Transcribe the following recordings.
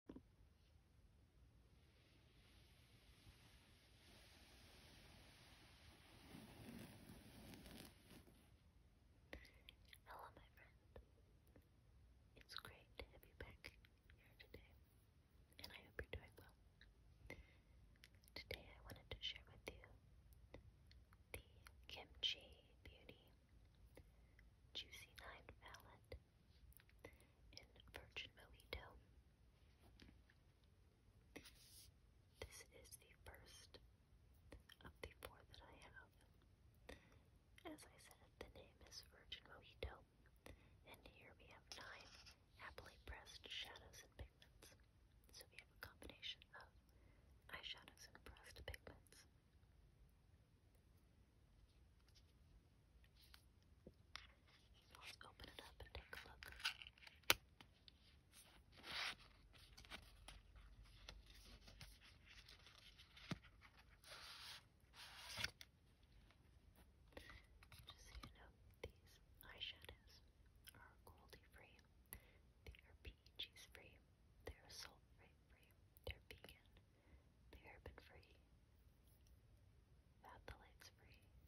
Hello, my friend. It's great to have you back here today, and I hope you're doing well. Today, I wanted to share with you the Kimchi Beauty Juicy Nine Palette in Virgin Mojito. This is the first of the four that I have. As I said, the name is Virgin Mojito, and here we have nine happily pressed shadows and pigments. So we have a combination of eyeshadows and pressed pigments. Let's open it up and take a look. Just so you know, these eyeshadows are goldie free, they are PEGs free, they are salt free, they're vegan, the urban free, phthalates free,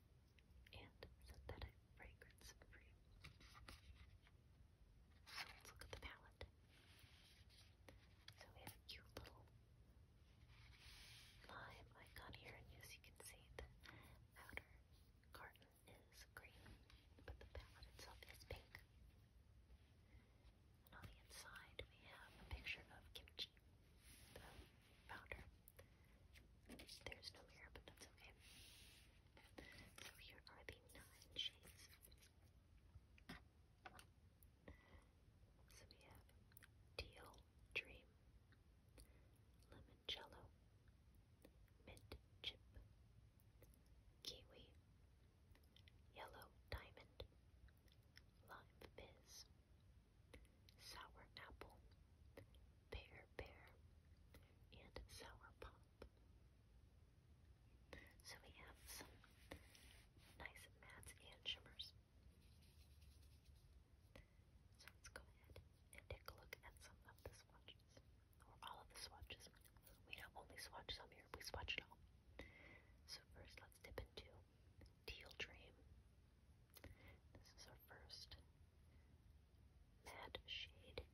and synthetic fragrance free. So let's look at the palette. So we have a cute little lime icon here, and as you can see, the outer carton is green, but the palette itself is pink. And on the inside, we have a picture of Kimchi, the founder. There's no mirror, but that's okay. So here are the nine shades. So we have Teal Dream, Limoncello, Mint Chip, Kiwi, Yellow Diamond, Lime Fizz, sour apple, pear pear, and sour pop. So we have some nice mattes and shimmers. So let's go ahead and take a look at some of the swatches, or all of the swatches. We don't only swatch some here, we swatch it all. So first let's dip into Teal Dream. This is our first matte shade.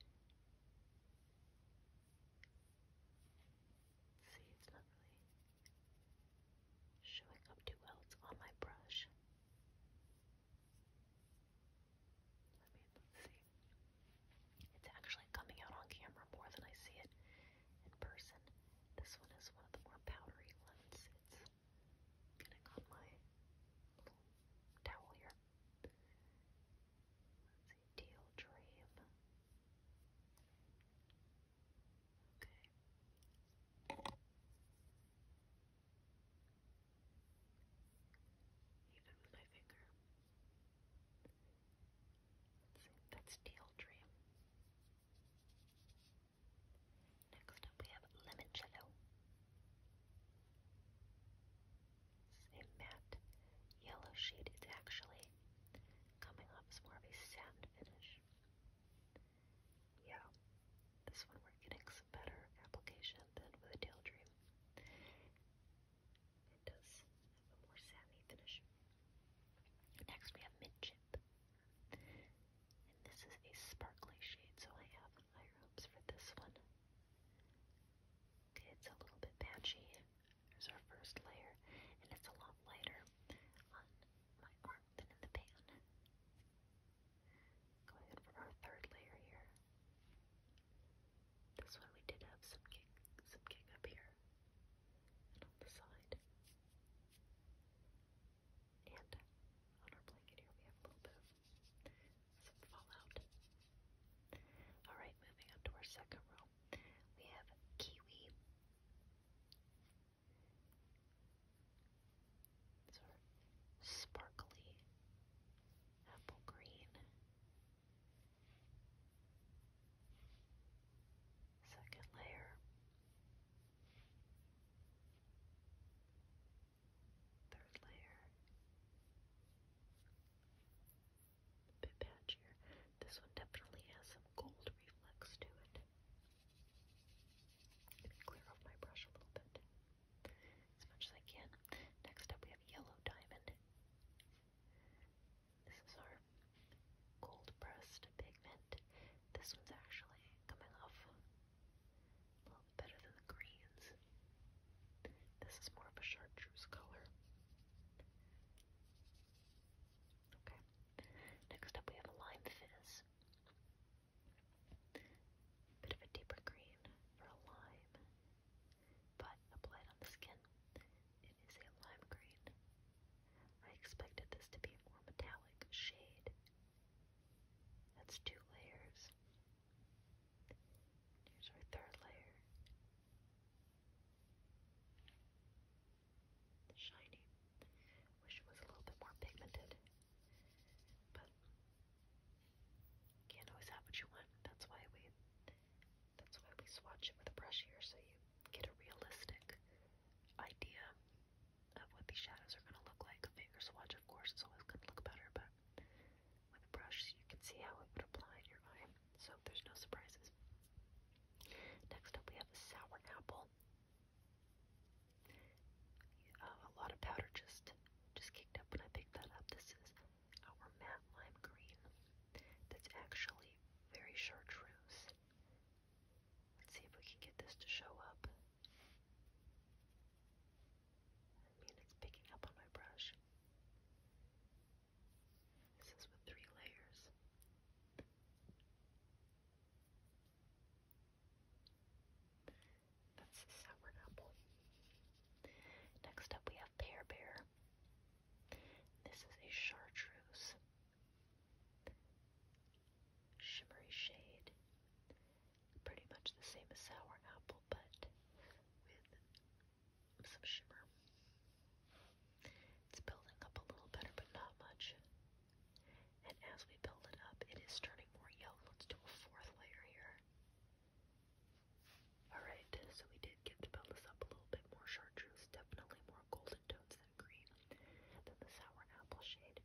See, it's not really showing up too well. on my brush. I mean, let's see. It's actually coming out on camera more than I see it in person. This one is one of the more powdery ones. It's getting on my towel here. Let's see, Teal Dream. Okay. Even with my finger. Let's see, that's Teal Dream. Next up we have limoncello. This is a matte yellow shade. It's actually coming off as more of a satin finish. Yeah, this one we're getting some better application than with a Daydream. It does have a more satiny finish. Next we have Midchip. And this is a sparkly shade, so I have higher hopes for this one. it's a little bit patchy. There's our first layer, and it's a lot lighter on my arm than in the pan. Go ahead for our third layer here. This one we did have some kick, some kick up here on the side. And on our blanket here, we have a little bit of some fallout. Alright, moving on to our second row. We have kiwi. It's our sparkly apple green. Second layer. Third layer. bit patchier. This one definitely has some gold reflex to it. clear off my brush a little bit. As much as I can. Next up we have yellow diamond. This is our gold pressed pigment. This one's actually coming off a little bit better than the greens. This is more of a chartreuse color. Okay. Next up we have a lime fizz. Bit of a deeper green for a lime, but applied on the skin. It is a lime green. I expected this to be a more metallic shade, that's two layers. Here's our third layer. Shiny. Wish it was a little bit more pigmented. But can't always have what you want. That's why we that's why we swatch it with a brush here so you get a realistic idea of what these shadows are going to look like. A finger swatch, of course, is always going to look better, but with a brush, you can see how it would apply in your eye, so there's no surprises. Next up, we have a sour apple. Uh, a lot of powder just just kicked up when I picked that up. This is our matte lime green. That's actually very chartreuse. Let's see if we can get this to show up. I mean, it's picking up on my brush. This is with three layers. That's a sour apple. Next up, we have Pear Bear. This is a chartreuse shimmery shade. Pretty much the same as sour apple, but with some shimmer. It's building up a little better, but not much. And as we build it up, it is turning more yellow. Let's do a fourth layer here. Alright, so we did get to build this up a little bit more chartreuse, definitely more golden tones than green than the sour apple shade.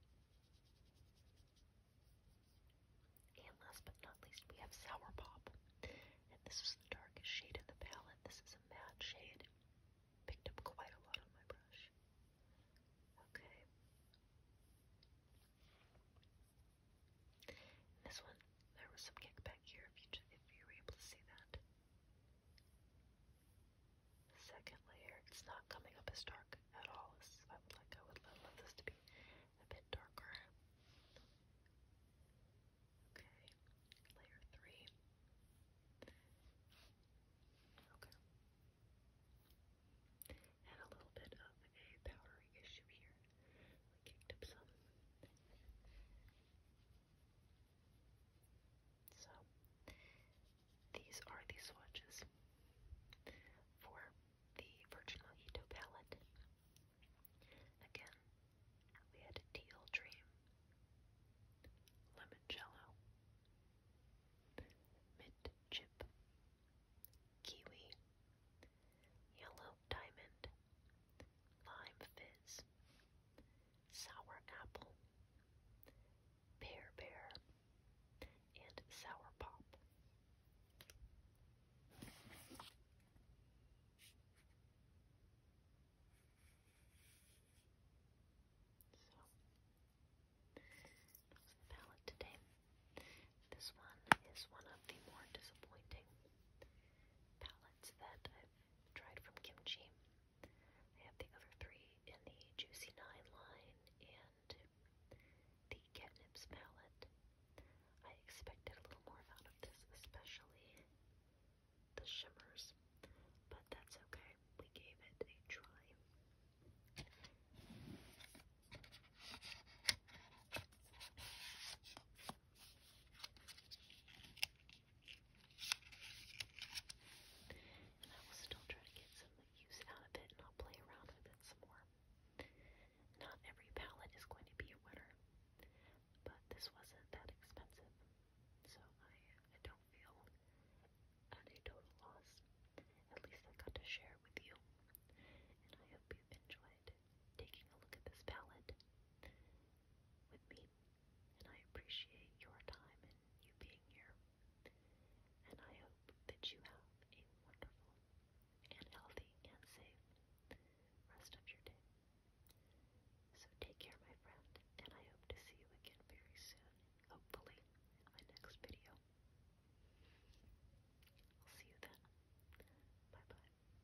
And last but not least, we have Sour Pop. And this is the darkest shade in the palette. This is a matte shade. Picked up quite a lot on my brush. Okay. this one, there was some kickback here if you, if you were able to see that second layer. It's not coming up as dark at all I would like. I would love this to be a bit darker. Okay, layer three. Okay. And a little bit of a powdery issue here. kicked up some. So, these are the swatches for the Virgin Mojito palette. Again, we had Teal Dream, Lemoncello, Mint Chip, Kiwi, Yellow Diamond, Lime Fizz, Sour Apple, Pear Bear, and Sour Pop. So, that the palette today. This one is one of the more disappointing palettes that I've tried from Kimchi. I have the other three in the Juicy Nine line and the catnip's palette. I expected a little more out of this, especially the shimmers, but that's okay. We gave it a try. And I will still try to get some use out of it and I'll play around with it some more. Not every palette is going to be a winner, but this wasn't that expensive, so I, I don't feel at a total loss. At least I got to share with you, and I hope you enjoyed taking a look at this palette with me, and I appreciate your time and you being here. And I hope that you have a wonderful and healthy and safe rest of your day. So take care, my friend, and I hope to see you again very soon, hopefully in my next video. I'll see you then. Bye bye.